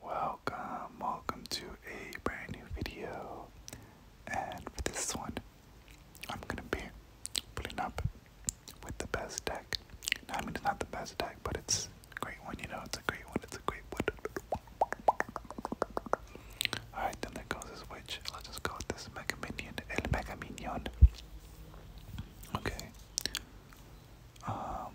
Welcome, welcome to a brand new video. And for this one, I'm gonna be putting up with the best deck. I mean, it's not the best deck, but it's a great one, you know, it's a great one, it's a great one. Alright, then there goes his witch. Let's just go with this Mega Minion, El Mega Minion. Okay. Um,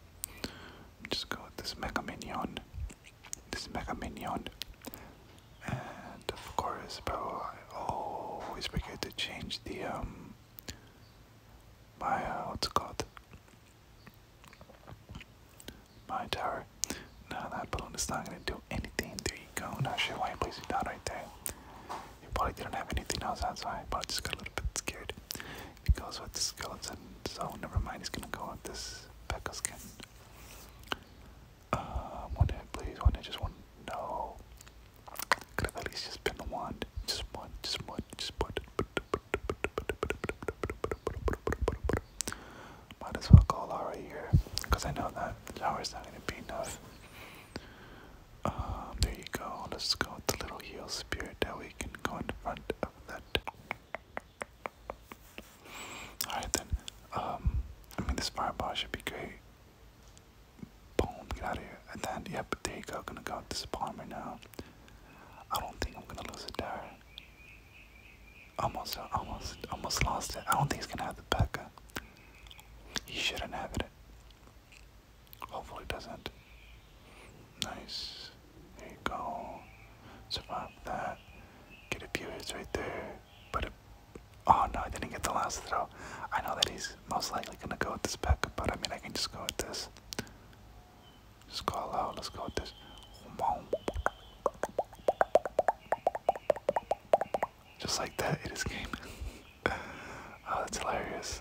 now. Just go with this Mega Minion. This Mega Minion. And of course, bro, I always forget to change the, um, my, uh, what's it called? My tower. Now that balloon is not gonna do anything. There you go. Not sure why I placed it down right there. You probably didn't have anything else outside, but I just got a little bit scared he goes with the skeleton, so never mind, he's gonna go with this Pekka skin. Uh, one hit, please. One hit, just one. No. Could at least just been one. Just one, just one, just one. Might as well call Lara here, because I know that shower's not gonna be enough. Um, there you go. Let's go with the little heal spirit that we can go in front of that. Alright then. Um, I mean, this fireball should be great. Boom, get out of here. And then, yep, there you go. Gonna go with this right now. I don't think I'm gonna lose it there. Almost, almost, almost lost it. I don't think he's gonna have the Becca. He shouldn't have it. Hopefully it doesn't. Nice. There you go. Survive that. Get a few hits right there. But oh no, I didn't get the last throw. I know that he's most likely gonna go with this back, but I mean I can just go with this. Just go out. Let's go with this. Just like that, it is game. oh, that's hilarious.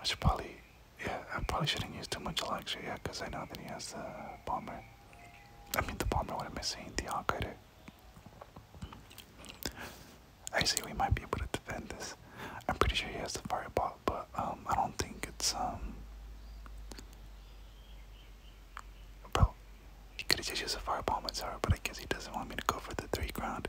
I should probably, yeah, I probably shouldn't use too much Electra, yeah, because I know that he has the Bomber. I mean, the Bomber, what am I saying? The I Actually, we might be able to defend this. I'm pretty sure he has the Fireball, but um, I don't think it's, um... he could have just used a Fireball myself, but I guess he doesn't want me to go for the 3 ground.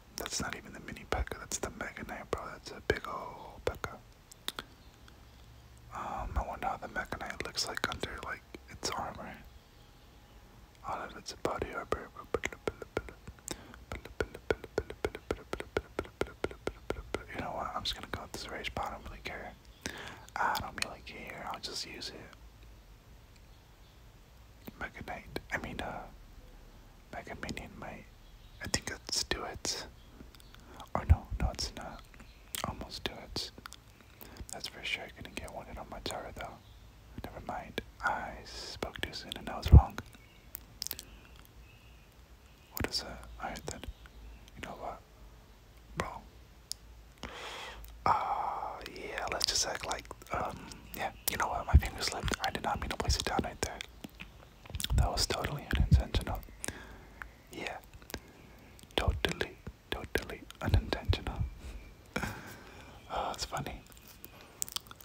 that's not even the mini P.E.K.K.A. That's the Mega Knight, bro. That's a big ol' P.E.K.K.A. Um, I wonder how the Mega Knight looks like under, like, its armor. All of its body armor. You know what? I'm just gonna go with this rage bot. I don't really care. I don't really care. I'll just use it. Mega Knight. I mean, uh, Mega Minion I think do it. Or no, no, it's not. Almost do it. That's for sure. I couldn't get one on my tower though. Never mind. I spoke too soon and I was wrong. What is that? I heard that. You know what? Bro. Ah, yeah, let's just act like um, yeah, you know what? My fingers slipped. I did not mean to place it down right there. That was totally unintentional. Yeah, totally, totally unintentional. oh, it's funny.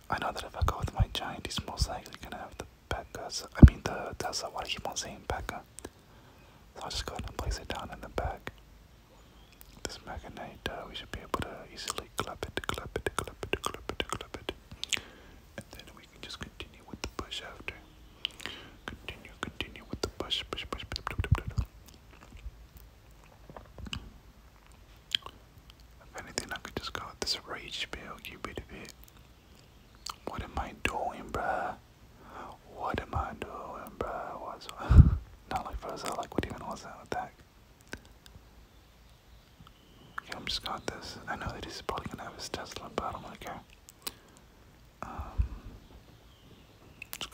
I know that if I go with my giant, he's most likely gonna have the Becca's. I mean, the Tesla. Why do I keep on saying Becca? So I'll just go ahead and place it down in the back. This Magnite, uh, we should be able to easily gently clap it, clap it, clap it, clap it, clap it. And then we can just continue with the push after. Continue, continue with the push, push, push, push, push, push, push. If anything, I could just call it this rage spell, Cupid bit. What am I doing, bruh? What am I doing, bruh? What's Not like first, I like, what even was that with that? I'm just got this. I know that he's probably gonna have his Tesla, but I don't really care. Um,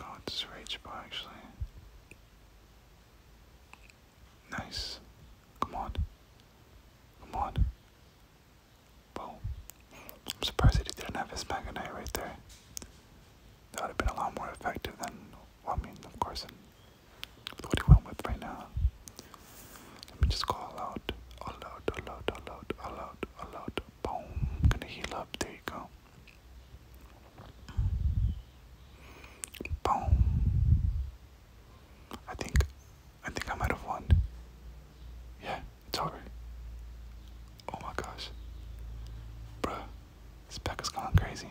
let this rage bar actually. Nice. Come on. Come on. Boom. I'm surprised that he didn't have his Maganite right there. That would have been a lot more effective than, I mean, of course, that's with right now. Let me just go all out. All out, all out, out, out, out. Boom. i gonna heal up. There you go. Boom. I think I think I might have won. Yeah, it's over. Oh my gosh. Bruh, this pack has gone crazy.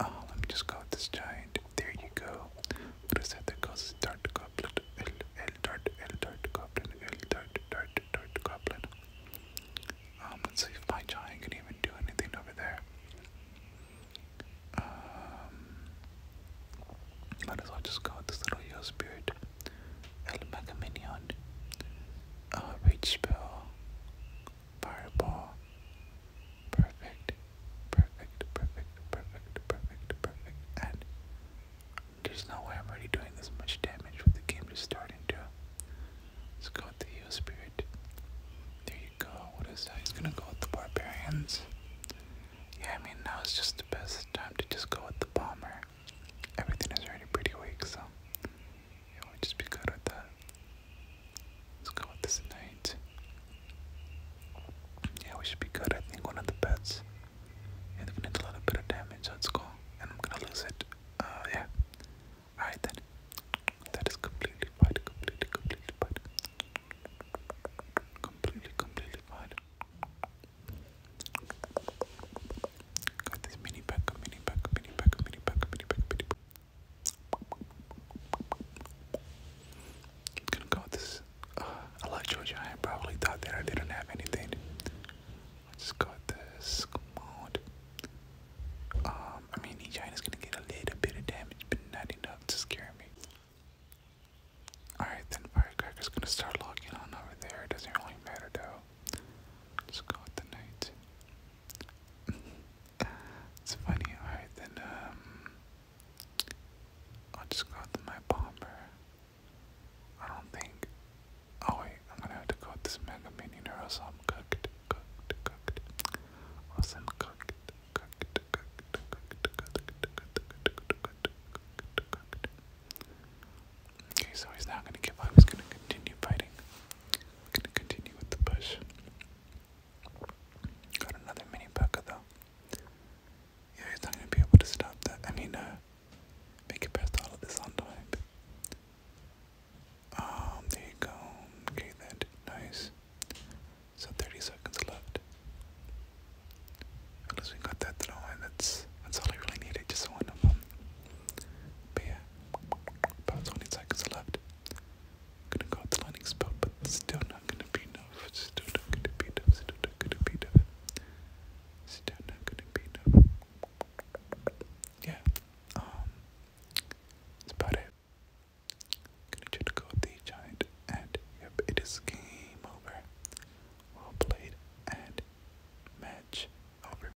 Uh, let me just go with this giant. There you go. What is that that goes? Dart goblin. L, L dart, L dart goblin, L dart, dart, dart goblin. Um, let's see if my giant can even do anything over there. Um, might as well just go this little yo spirit. El Mega Uh, reach spell. Fireball. Perfect. Perfect. Perfect. Perfect. Perfect. Perfect. And there's no way I'm already doing this much damage with the game just starting to. Let's go with the heal spirit. There you go. What is that? He's gonna go with the barbarians. Yeah, I mean now it's just the best time to just go with the bomber. Everything is already pretty weak, so yeah, we'll just be good with that. Let's go with this night. Yeah, we should be good. I think one of the bets. Yeah, they've done a little bit of damage. Let's go. And I'm gonna lose it. Uh, yeah. Alright then. That is completely fine. Completely, completely fine. Completely, completely fine. Got this mini pack, mini pack, mini pack, mini pack, mini pack, mini pack i gonna go with this. Uh, I like Georgia. I probably thought that I didn't have anything. I just got this. Come on. Um, I mean, is gonna get a little bit of damage, but not enough to scare me. Alright, then Firecracker's gonna start locking on over there. It doesn't really matter though. Just go with the night. It's funny. Alright, then, um. I'll just go out my bomber. I don't think. Oh, wait, I'm gonna have to go with this Mega Minion or else I'm cooked, cooked, cooked. Or else I'm cooked, cooked, cooked, cooked, cooked, cooked, cooked, cooked. Okay, so he's not gonna give up, he's gonna continue fighting gonna continue with the push. Got another mini P.E.K.K.A though. Yeah, he's not gonna be able to stop that. I mean, uh, make it past all of this on Um, there you go. Okay, that nice. So 30 seconds left. At least we got that throw in. That's that's all I really needed. Just one of them. But yeah, about 20 seconds left. Gonna go with the lightning spell, but still not gonna be enough. Still not gonna be enough. Still not gonna be enough. Still not gonna be enough. Yeah, um, that's about it. Gonna try to go the giant, and yep, it is game over. Well played, and match over.